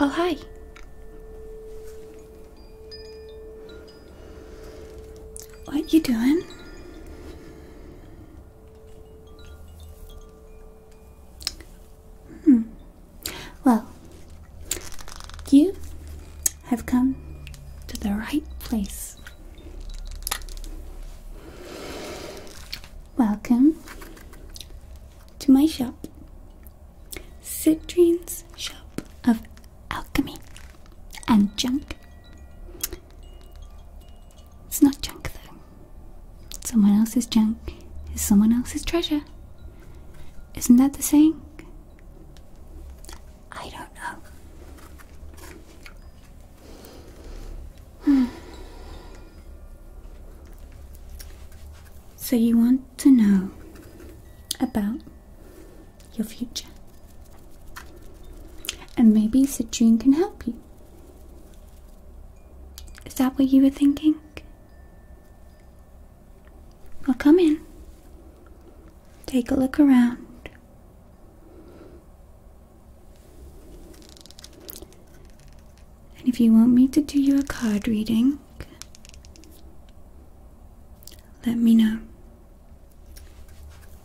Oh, hi. What you doing? Hmm. Well, you have come to the right place. Welcome to my shop, Citrine's Shop of alchemy and junk. It's not junk though. Someone else's junk is someone else's treasure. Isn't that the saying? I don't know. Hmm. So, you want to know about your future. And maybe Citrine can help you. Is that what you were thinking? Well, come in. Take a look around. And if you want me to do you a card reading, let me know.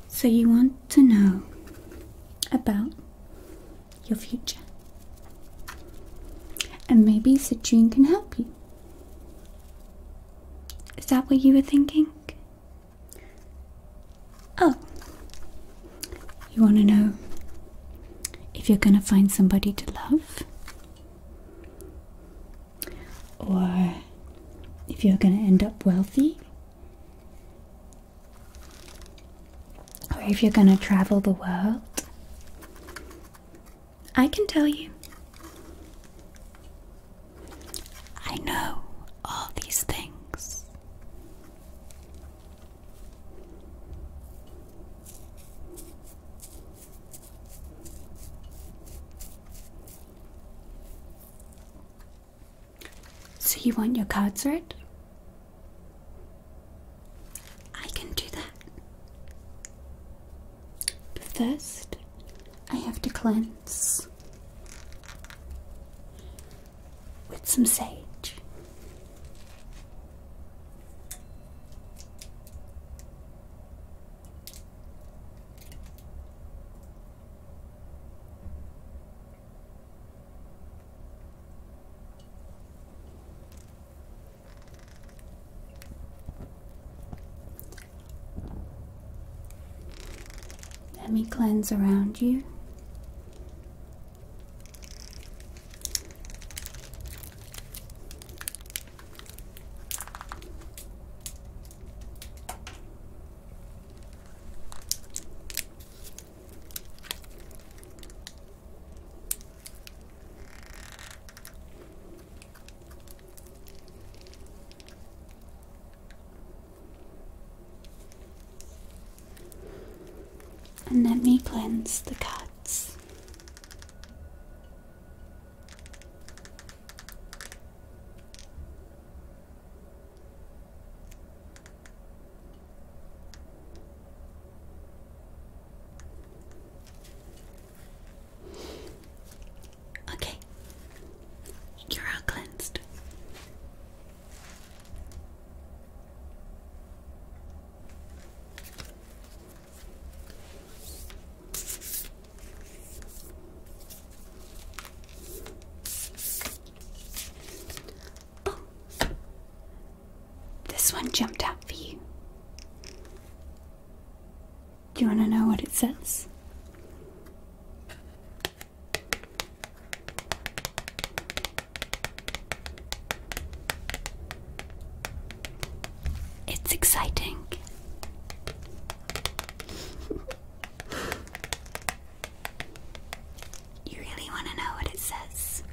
So, you want to know about your future. And maybe Citrine can help you. Is that what you were thinking? Oh, you want to know if you're going to find somebody to love? or if you're going to end up wealthy, or if you're going to travel the world. I can tell you. I know all these things. So you want your cards read? I can do that. But first, I have to cleanse with some sage. Let me cleanse around you. And let me cleanse the cuts. Okay, you're all cleansed. Oh, this one jumped out for you. Do you want to know what it says? It's exciting. You really want to know what it says?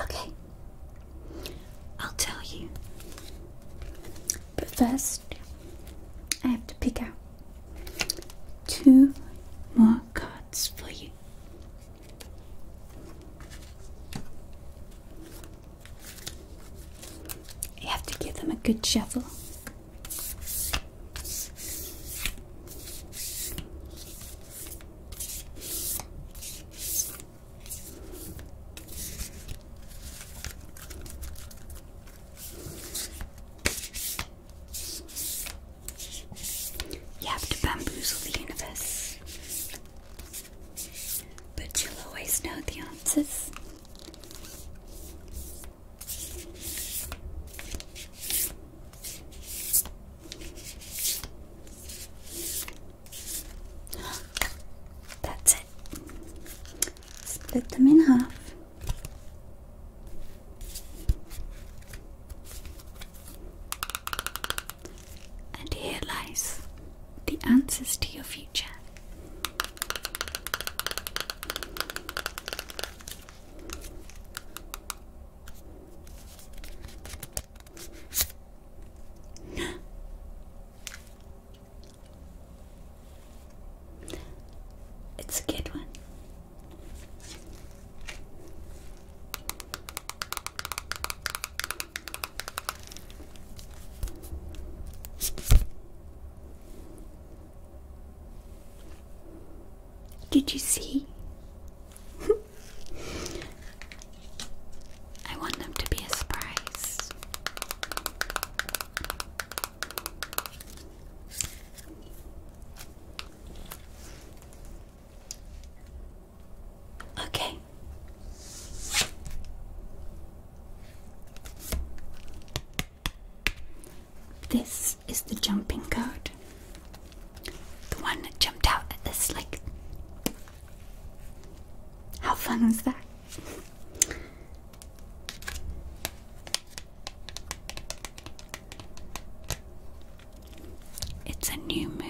Okay, I'll tell you. But first, I have to pick out two more cards for you. You have to give them a good shuffle. You have to bamboozle the universe. But you'll always know the answers. That's Split them in half. And here lies the answers to your future. It's a good one. Did you see? I want them to be a Okay. This is the jumping code. The one that jumped out at the slick. How fun was that? It's a new moon.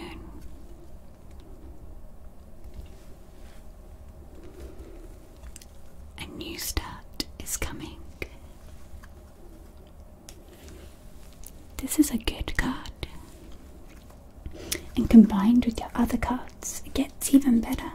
A new start is coming. This is a good card. And combined with your other cards, it gets even better.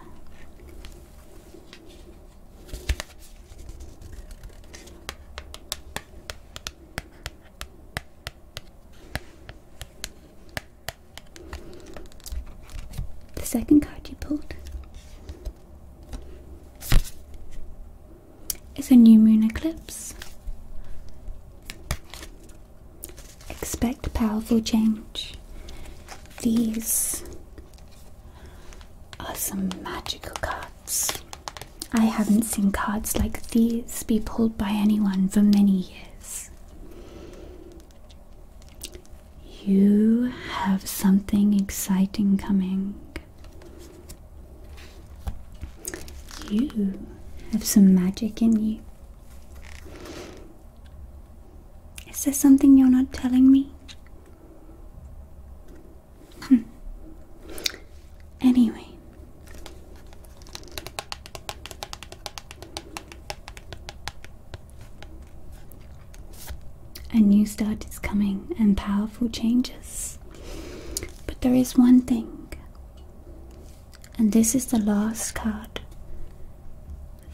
The second card you pulled is a new moon eclipse. Expect powerful change. These are some magical cards. I haven't seen cards like these be pulled by anyone for many years. You have something exciting coming. You have some magic in you. Is there something you're not telling me? Hmm. Anyway, a new start is coming and powerful changes. But there is one thing, and this is the last card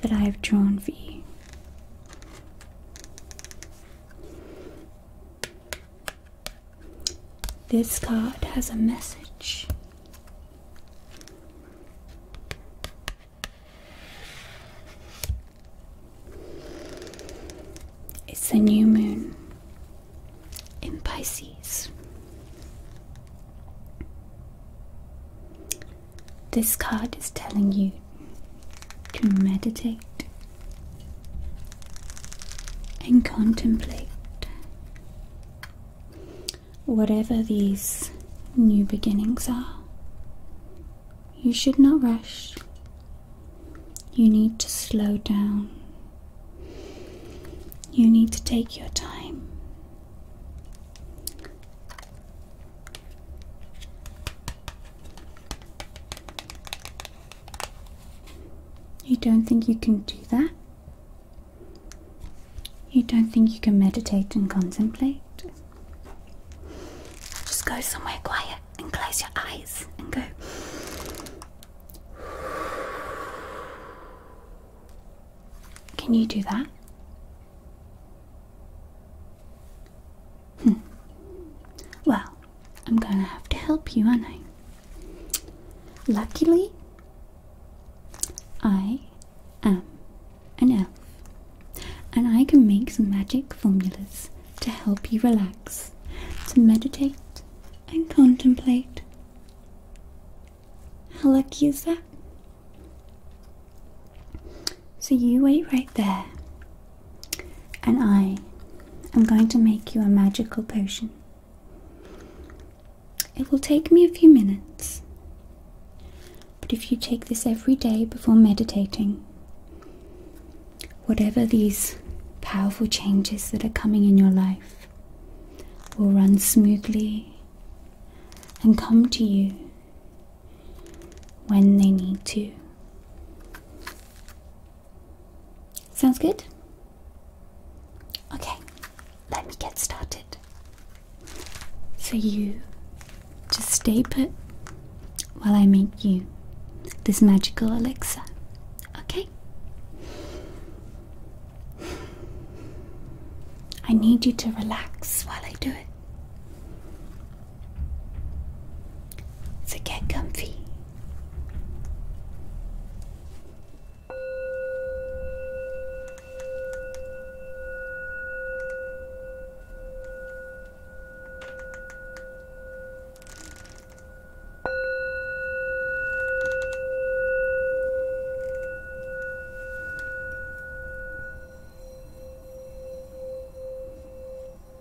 that I have drawn for you. This card has a message. It's the new moon in Pisces. This card is telling you to meditate and contemplate whatever these new beginnings are. You should not rush. You need to slow down. You need to take your time. You don't think you can do that? You don't think you can meditate and contemplate? Just go somewhere quiet and close your eyes and go. Can you do that? Hmm. Well, I'm gonna have to help you, aren't I? Luckily, I am an elf, and I can make some magic formulas to help you relax, to meditate, and contemplate. How lucky is that? So you wait right there, and I am going to make you a magical potion. It will take me a few minutes, but if you take this every day before meditating, whatever these powerful changes that are coming in your life will run smoothly and come to you when they need to. Sounds good? Okay, let me get started. So you just stay put while I make you this magical elixir, okay? I need you to relax while I do it. So get comfy.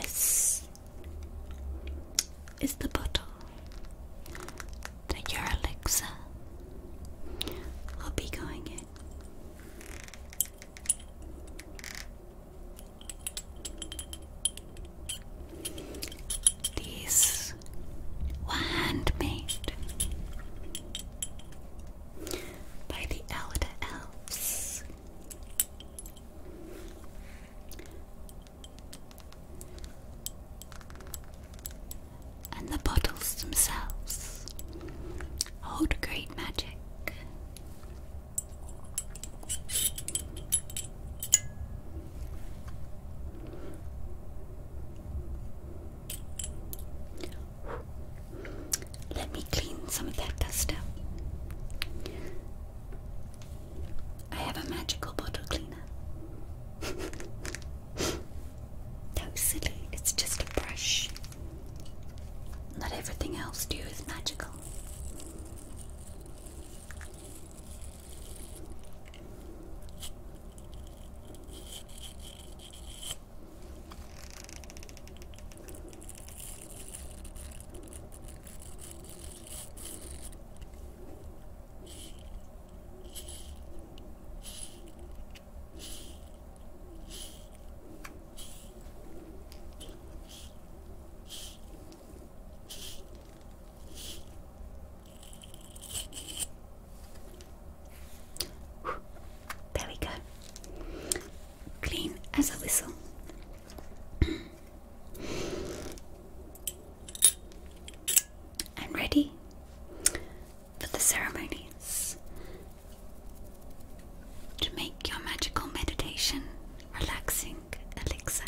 This is the bottle that your elixir will be going in. Okay. These were handmade by the elder elves and the bottles themselves hold great magic. Let me clean some of that dust up. I have a magical bottle cleaner. No, silly, it's just a brush. Not everything else do is magical. There we go. Clean as a whistle. I'm ready for the ceremonies to make your magical meditation relaxing elixir.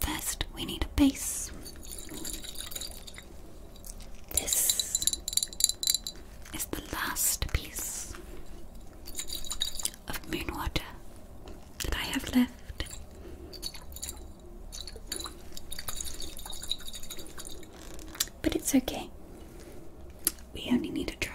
First, we need a base. This is the last piece of moon water that I have left. But it's okay, we only need a drop.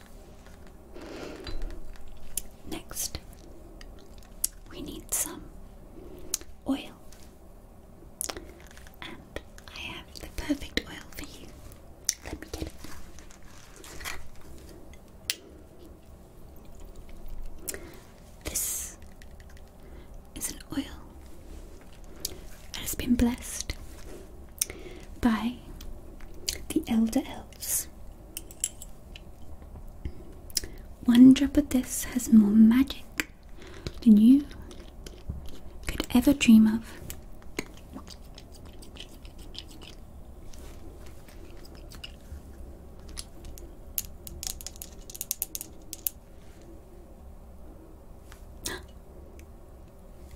Next, we need some oil, and I have the perfect oil for you. Let me get it. This is an oil that has been blessed by the Elder Elves. One drop of this has more magic than you could ever dream of.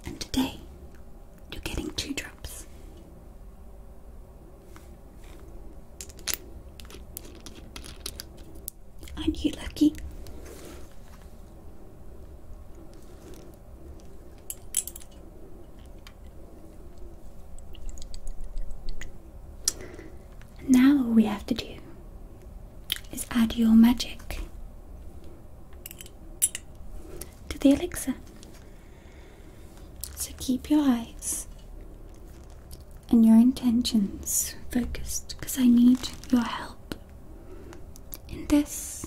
And today, you're getting two drops. Aren't you lucky? now all we have to do is add your magic to the elixir. So keep your eyes and your intentions focused because I need your help in this.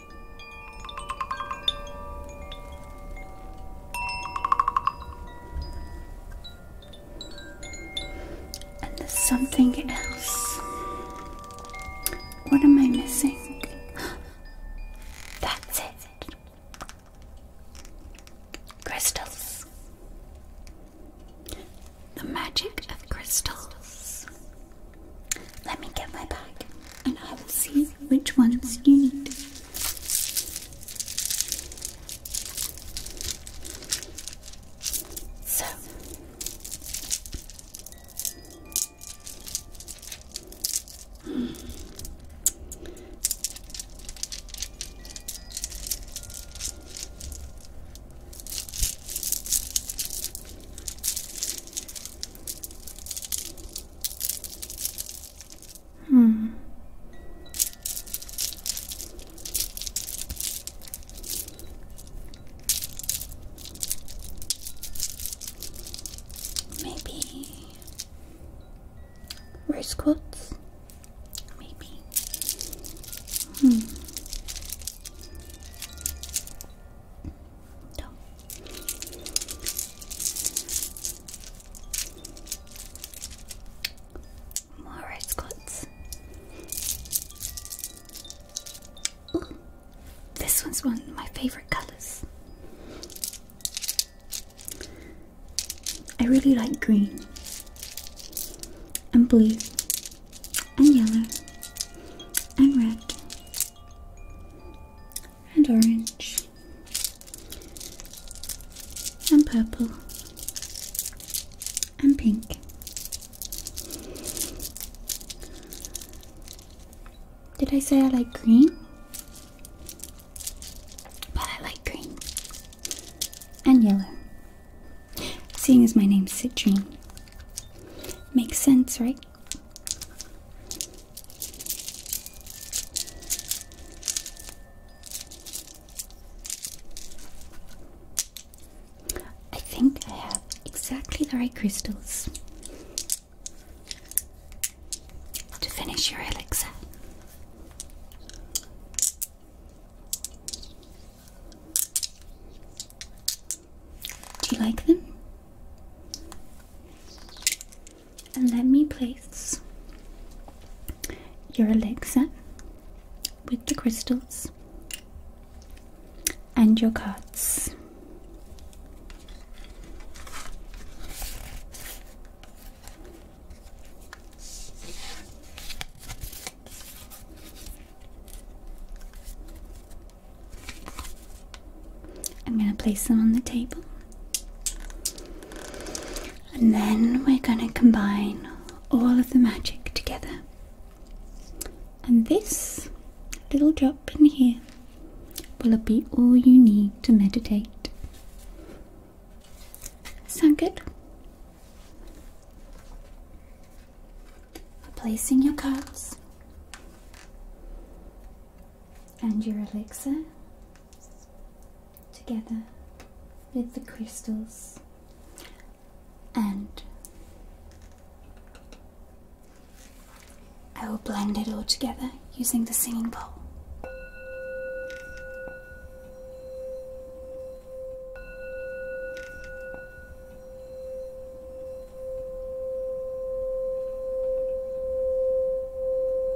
And something else. What am I missing? That's it. Crystals. The magic of crystals. Let me get my bag and I will see which ones you need. So, Hmm. Maybe rose quartz. Maybe. Hmm. More rice cuts. Ooh, this one's one of my favorite colors. I really like green and blue and yellow and red and orange and purple and pink. Did I say I like green? But I like green and yellow. Seeing as my name's Citrine. Makes sense, right? I think I have exactly the right crystals to finish your elixir. Do you like them? And let me place your Alexa with the crystals and your cards. I'm going to place them on the table. And then we're going to combine all of the magic together. And this little drop in here will be all you need to meditate. Sound good? Placing your cards and your elixir together with the crystals and I will blend it all together using the singing bowl.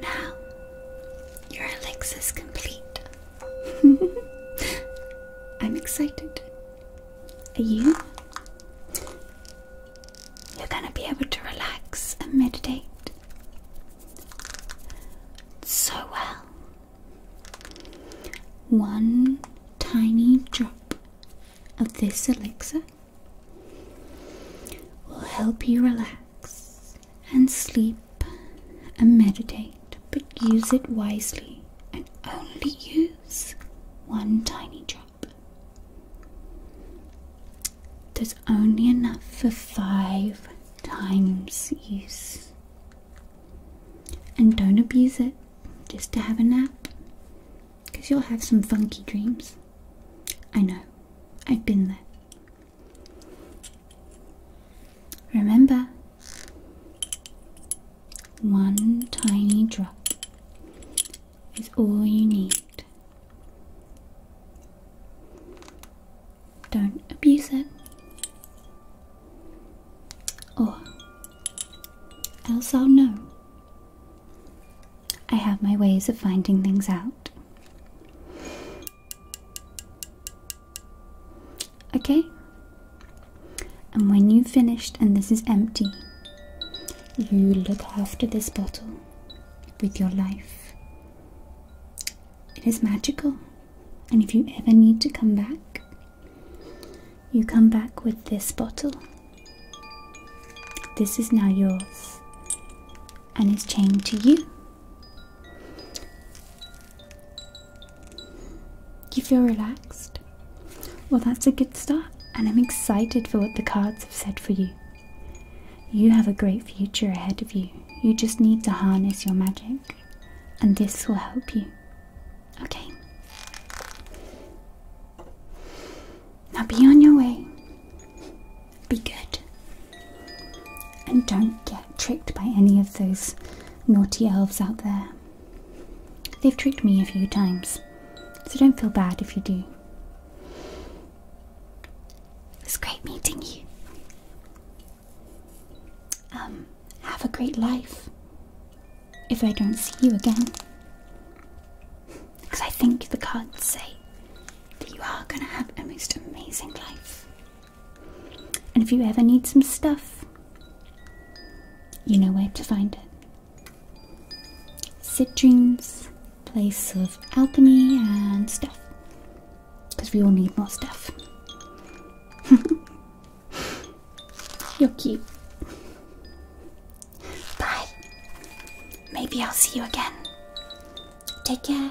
Now, your elixir's complete. I'm excited you you're going to be able to relax and meditate so well. One tiny drop of this elixir will help you relax and sleep and meditate, but use it wisely and only use one tiny drop. There's only enough for five times use. And don't abuse it just to have a nap, because you'll have some funky dreams. I know, I've been there. Remember, one tiny drop is all you need. Don't abuse it, or else I'll know. I have my ways of finding things out. Okay, and when you've finished and this is empty, you look after this bottle with your life. It is magical, and if you ever need to come back, you come back with this bottle. This is now yours and is chained to you. You feel relaxed? Well, that's a good start, and I'm excited for what the cards have said for you. You have a great future ahead of you. You just need to harness your magic, and this will help you. Okay. Now be on your way. Be good. And don't get tricked by any of those naughty elves out there. They've tricked me a few times, so don't feel bad if you do. It's great meeting you. Um, have a great life. If I don't see you again. Because I think the cards say that you are going to have a most amazing life. And if you ever need some stuff, you know where to find it. Citrines, place of alchemy and stuff. Because we all need more stuff. You're cute. Bye. Maybe I'll see you again. Take care.